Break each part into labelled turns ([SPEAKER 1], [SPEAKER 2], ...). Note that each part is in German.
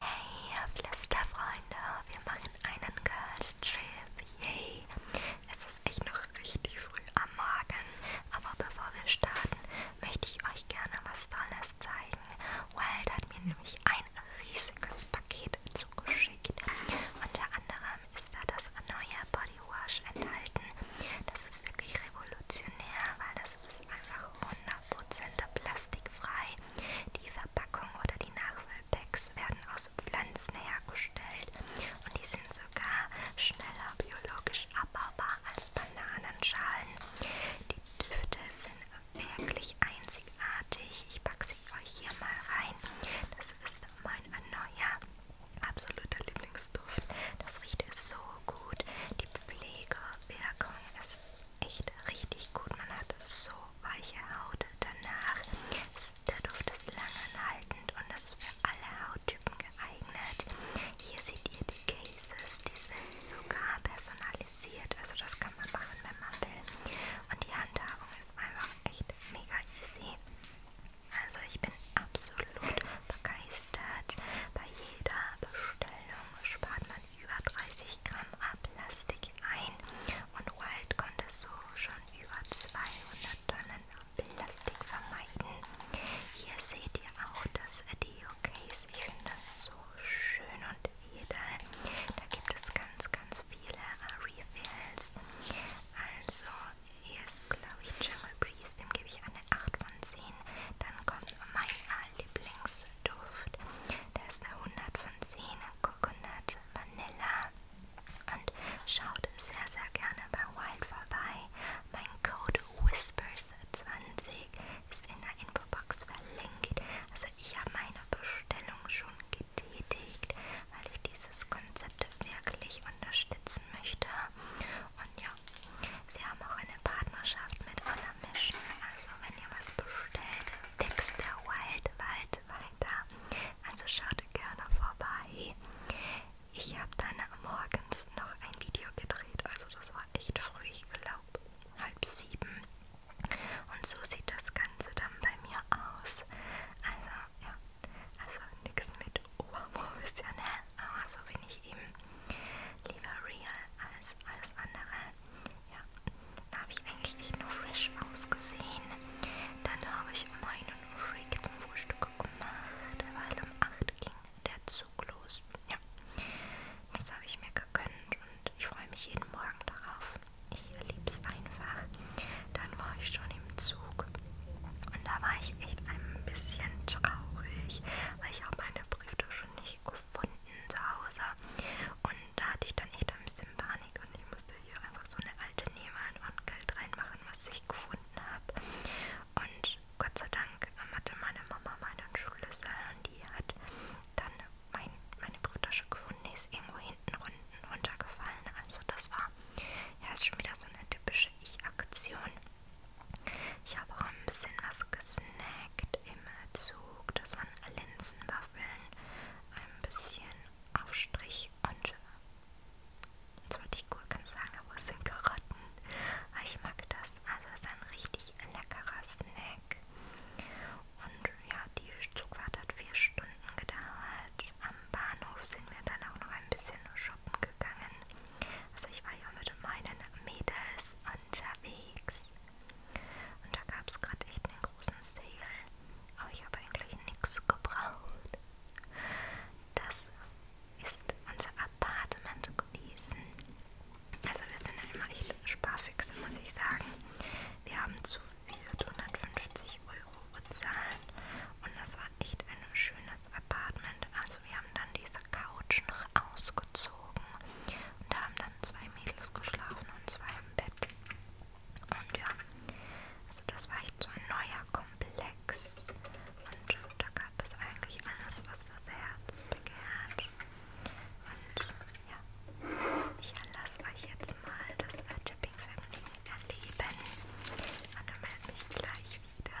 [SPEAKER 1] Hey Flüsterfreunde, wir machen einen Girls Trip, yay! Es ist echt noch richtig früh am Morgen, aber bevor wir starten, möchte ich euch gerne was Tolles zeigen. Wild hat mir nämlich ein riesiges Paket zugeschickt. Unter anderem ist da das neue Body Wash enthalten. Das ist wirklich revolutionär, weil das ist einfach wunderbar plastikfrei. Die Verpackung oder die Nachfüllpacks werden aus Pflanzen hergestellt und die sind sogar schneller biologisch abbaubar als Bananenschalen. Die Düfte sind wirklich einzigartig. Ich packe sie euch hier mal rein. Das ist mein neuer absoluter Lieblingsduft. Das riecht so gut. Die Pflegewirkung ist echt richtig gut. Man hat so weiche Haut danach. Ist, der Duft ist lange anhaltend und ist für alle Hauttypen geeignet. Hier seht ihr die Cases, die sind sogar personalisiert. Also das kann man machen, wenn man will. Und die Handhabung ist einfach echt mega easy. Also ich bin absolut begeistert. Bei jeder Bestellung spart man über 30 Gramm Plastik ein und Wild konnte so schon über 200 Tonnen Plastik vermeiden. Hier seht ihr auch das Deo-Case. Ich finde das so schön und edel. Da gibt es ganz, ganz viele Refills. Also hier ist, glaube ich, Jungle Breeze. Dem gebe ich eine 8 von 10. Dann kommt mein Lieblings Duft. Da ist eine 100 von 10, Coconut, Vanilla. Und schaut sehr, sehr gerne bei Wild vorbei. Mein Code Whispers20 ist in der Infobox verlinkt. Also ich habe meine Bestellung schon getätigt, weil ich dieses Konzept wirklich unterstützen möchte. Und ja, Sie haben auch eine Partnerschaft mit Anna Mission. Also wenn ihr was bestellt, Tipps der Wild, Wald weiter. Also schaut gerne vorbei. Ich habe dann morgens noch ein Video gedreht. Also das war echt früh, ich glaube halb sieben. Und so sieht das Ganze dann bei mir aus. Also ja, also nichts mit oberprofessionell, aber so bin ich eben. Lieber real als alles andere. Ja, da habe ich eigentlich echt nur fresh ausgesehen. Dann habe ich meinen Shake zum Frühstück gemacht, weil um 8 ging der Zug los. Ja, das habe ich mir gegönnt und ich freue mich jeden Morgen darauf. Ich liebe es einfach. Dann war ich schon im Zug und da war ich echt ein bisschen traurig, weil ich auch meine Brieftasche nicht gefunden zu Hause. Und da hatte ich dann echt ein bisschen Panik und ich musste hier einfach so eine alte nehmen und Geld reinmachen, was ich gefunden habe. Und Gott sei Dank ähm, hatte meine Mama meinen Schlüssel und die hat dann mein, meine Brieftasche gefunden, die ist irgendwo hinten runtergefallen. Also das war ja ist schon wieder so eine typische Ich-Aktion. Ich habe auch ein bisschen was gesnackt im Zug. Das waren Linsenwaffeln, ein bisschen Aufstrich und jetzt wollte ich Gurken sagen, aber es sind Karotten. Ich mag das. Also es ist ein richtig leckerer Snack. Und ja, die Zugfahrt hat vier Stunden gedauert. Am Bahnhof sind wir dann auch noch ein bisschen shoppen gegangen. Also ich war ja mit meinen Mädels unterwegs. Und da gab es gerade echt einen großen Sale. Aber ich habe eigentlich nichts gebraucht. Das ist unser Apartment gewesen. Also wir sind ja immer echt Sparfüchse, muss ich sagen. Wir haben zu 450 Euro bezahlt und das war echt ein schönes Apartment. Also also wir haben dann diese Couch noch ausgezogen und da haben dann zwei Mädels geschlafen und zwei im Bett. Und ja, also das war echt so ein neuer Komplex und da gab es eigentlich alles, was das Herz begehrt. Und ja, ich lasse euch jetzt mal das Tipping Family erleben und dann melde mich gleich wieder.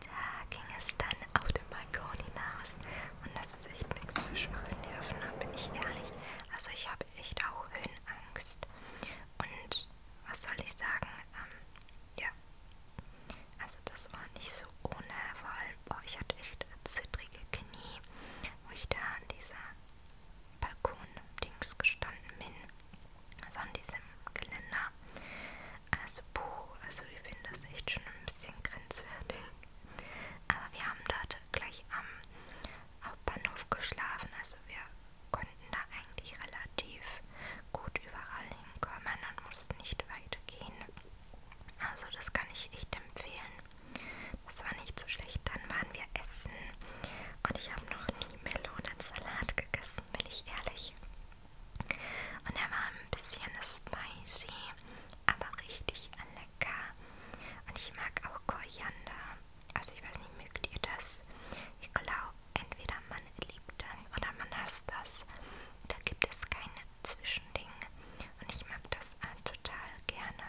[SPEAKER 1] Da ging es dann auf den Balkon hinaus und das ist echt nichts für schwache Nerven, da bin ich ehrlich. Also ich habe echt auch Höhenangst und was soll ich sagen? Ähm, ja. Also das war nicht so ohne, vor allem, boah, ich hatte echt zittrige Knie, wo ich da an dieser Balkon-Dings gestanden bin. Also an diesem Geländer. Also puh, also ich finde das echt schon ein bisschen grenzwertig. Aber wir haben dort gleich am Hauptbahnhof geschlafen, also wir konnten da eigentlich relativ gut überall hinkommen und mussten nicht weit gehen. Also das kann ich echt empfehlen. Das war nicht so schlecht. Dann waren wir essen und ich habe noch nie Melonensalat gegessen, bin ich ehrlich. Und er war ein bisschen spicy, aber richtig lecker. Und ich mag auch Koriander. Also ich weiß nicht, mögt ihr das? Ich glaube, entweder man liebt das oder man hasst das. Da gibt es kein Zwischending. Und ich mag das äh, total gerne.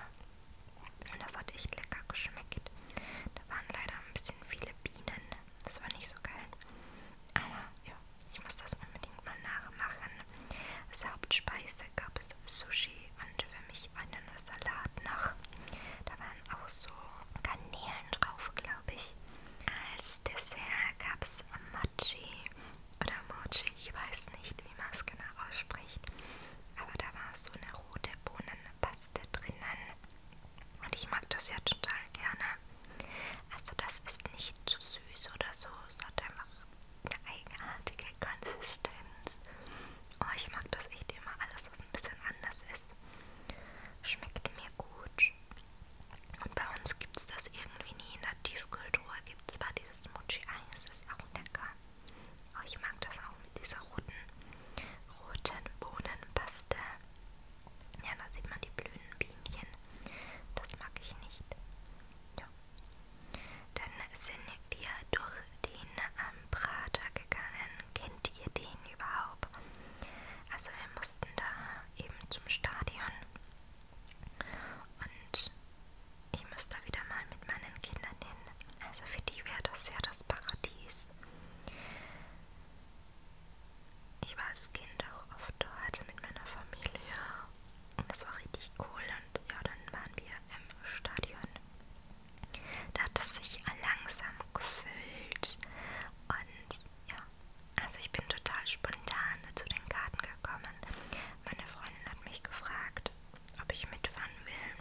[SPEAKER 1] Und das hat echt lecker geschmeckt. Da waren leider ein bisschen viele Bienen. Das war nicht so geil. Aber ja, ich muss das unbedingt mal nachmachen. Als Hauptspeise gab es Sushi und für mich einen Salat noch. Da waren auch so Garnelen drauf, glaube ich. Als Dessert gab es Mochi oder Mochi, ich weiß nicht, wie man es genau ausspricht. Aber da war so eine rote Bohnenpaste drinnen. Und ich mag das ja total gerne. Also das ist nicht zu süß oder so. Es hat einfach eine eigenartige Konsistenz. Oh, ich mag das echt immer alles, was ein bisschen anders ist. Schmeckt mir gut. Und bei uns gibt es das irgendwie nie. In der Tiefkühltruhe gibt es zwar dieses Mochi-Eis, das ist auch lecker. Oh, ich mag das auch mit dieser roten, roten Bohnenpaste. Ja, da sieht man die blühenden Bienchen. Das mag ich nicht. Ja. Dann sind wir durch den ähm, Prater gegangen. Kennt ihr den überhaupt? Also wir mussten da eben zum Stadion und ich muss da wieder mal mit meinen Kindern hin. Also für die wäre das ja das Paradies. Ich war als Kind auch oft dort also mit meiner Familie und das war richtig cool und ja, dann waren wir im Stadion da hat es sich langsam gefüllt und ja, also ich bin total spontan zu den Karten gekommen. Meine Freundin hat mich gefragt, ob ich mitfahren will,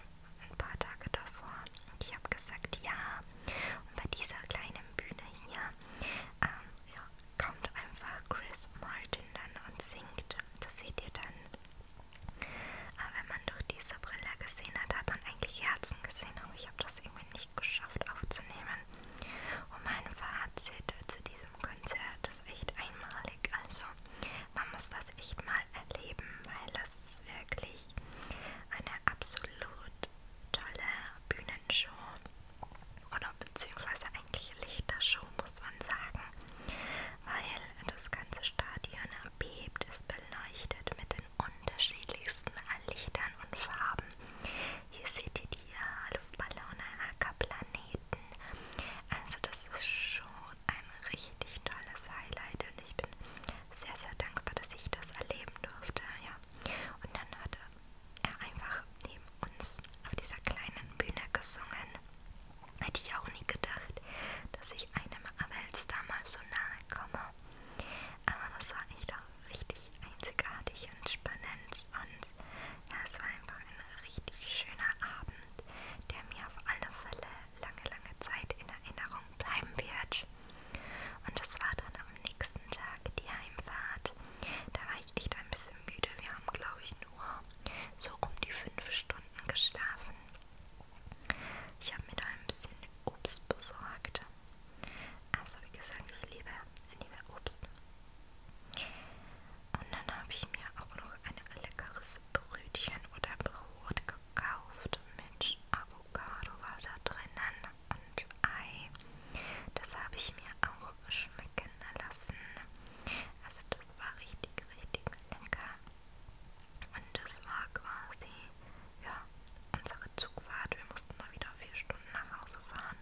[SPEAKER 1] ein paar Tage davor. Und ich habe gesagt, ja. Und bei dieser kleinen Bühne hier ähm, ja, kommt einfach Chris Martin dann und singt. Das seht ihr dann aber wenn man durch diese Brille gesehen hat, hat man eigentlich Herzen gesehen. Aber ich habe das irgendwie nicht geschafft aufzunehmen. Und mein Fazit zu diesem Konzert ist echt einmalig. Also man muss das echt mal erleben, weil das ist wirklich eine absolut tolle Bühnenshow. Oder beziehungsweise eigentlich Lichtershow, muss man sagen. Weil das ganze Stadion bebt, ist beleuchtet mit den unterschiedlichsten Lichtern und Farben. Hier seht ihr die Luftballone, Ackerplaneten. Also das ist schon ein richtig tolles Highlight und ich bin sehr, sehr dankbar, dass ich das erleben durfte. Ja. Und dann hat er einfach neben uns auf dieser kleinen Bühne gesungen. Hätte ich auch nie gedacht, dass ich einem Avels damals so nahe komme aber das war echt auch richtig einzigartig und spannend und ja, es war einfach ein richtig schöner Abend, der mir auf alle Fälle lange, lange Zeit in Erinnerung bleiben wird. Und das war dann am nächsten Tag die Heimfahrt. Da war ich echt ein bisschen müde. Wir haben, glaube ich, nur so um die fünf Stunden geschlafen. Ich habe mir da ein bisschen Obst besorgt. Also wie gesagt, ich liebe, liebe Obst. Und dann habe ich mir auch noch ein leckeres Brötchen oder Brot gekauft mit Avocado war da drinnen und Ei. Das habe ich mir auch schmecken lassen. Also das war richtig, richtig lecker. Und das war quasi, ja, unsere Zugfahrt. Wir mussten nur wieder vier Stunden nach Hause fahren.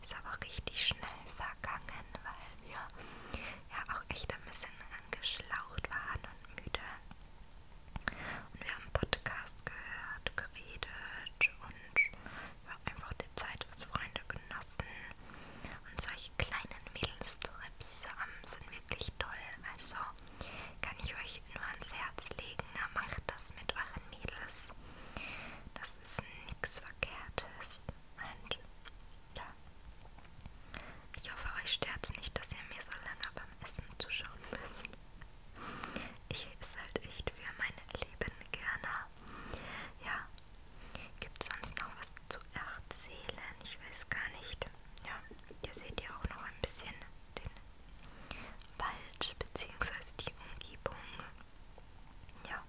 [SPEAKER 1] Ist aber richtig schnell vergangen, weil wir ja auch echt ein bisschen angeschlaucht waren und müde. Und wir haben Podcast gehört, geredet und ja, einfach die Zeit als Freunde genossen. Und solche kleinen Mädelstrips ähm, sind wirklich toll. Also kann ich euch nur ans Herz legen, macht das mit euren Mädels. Das ist nichts Verkehrtes. Und ja, ich hoffe, euch stört es nicht, dass ihr mir so lange beim Essen zuschauen müsst. Ich esse halt echt für meine Lieben gerne. Ja, gibt sonst noch was zu erzählen? Ich weiß gar nicht ja, hier seht ihr auch noch ein bisschen den Wald bzw. die Umgebung. Ja.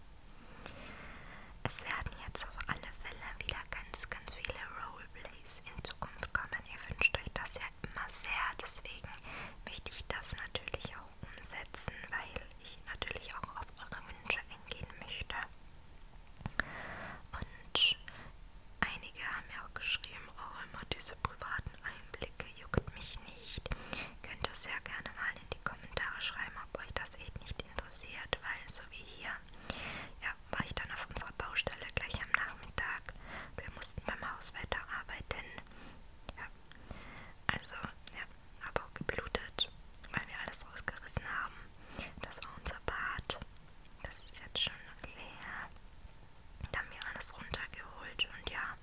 [SPEAKER 1] Es werden jetzt auf alle Fälle wieder ganz, ganz viele Roleplays in Zukunft kommen. Ihr wünscht euch das ja immer sehr, deswegen möchte ich das natürlich auch umsetzen, weil ich natürlich auch auf eure Wünsche eingehen möchte. Und einige haben ja auch geschrieben, oh immer diese privaten Einblicke juckt mich nicht. Könnt ihr sehr gerne mal in die Kommentare schreiben, ob euch das echt nicht interessiert, weil so wie hier, ja, war ich dann auf unserer Baustelle gleich am Nachmittag. Wir mussten beim Haus weiterarbeiten. Ja, also, ja, habe auch geblutet, weil wir alles rausgerissen haben das war unser Bad. Das ist jetzt schon leer. Da haben wir alles runtergeholt. Und ja,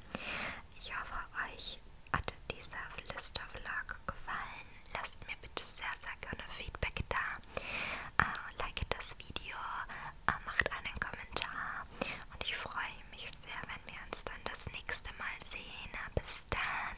[SPEAKER 1] ich hoffe, euch hat dieser Flistervlog gefallen. Lasst mir bitte sehr, sehr gerne Feedback da. Uh, like das Video, uh, macht einen Kommentar. Und ich freue mich sehr, wenn wir uns dann das nächste Mal sehen. Bis dann.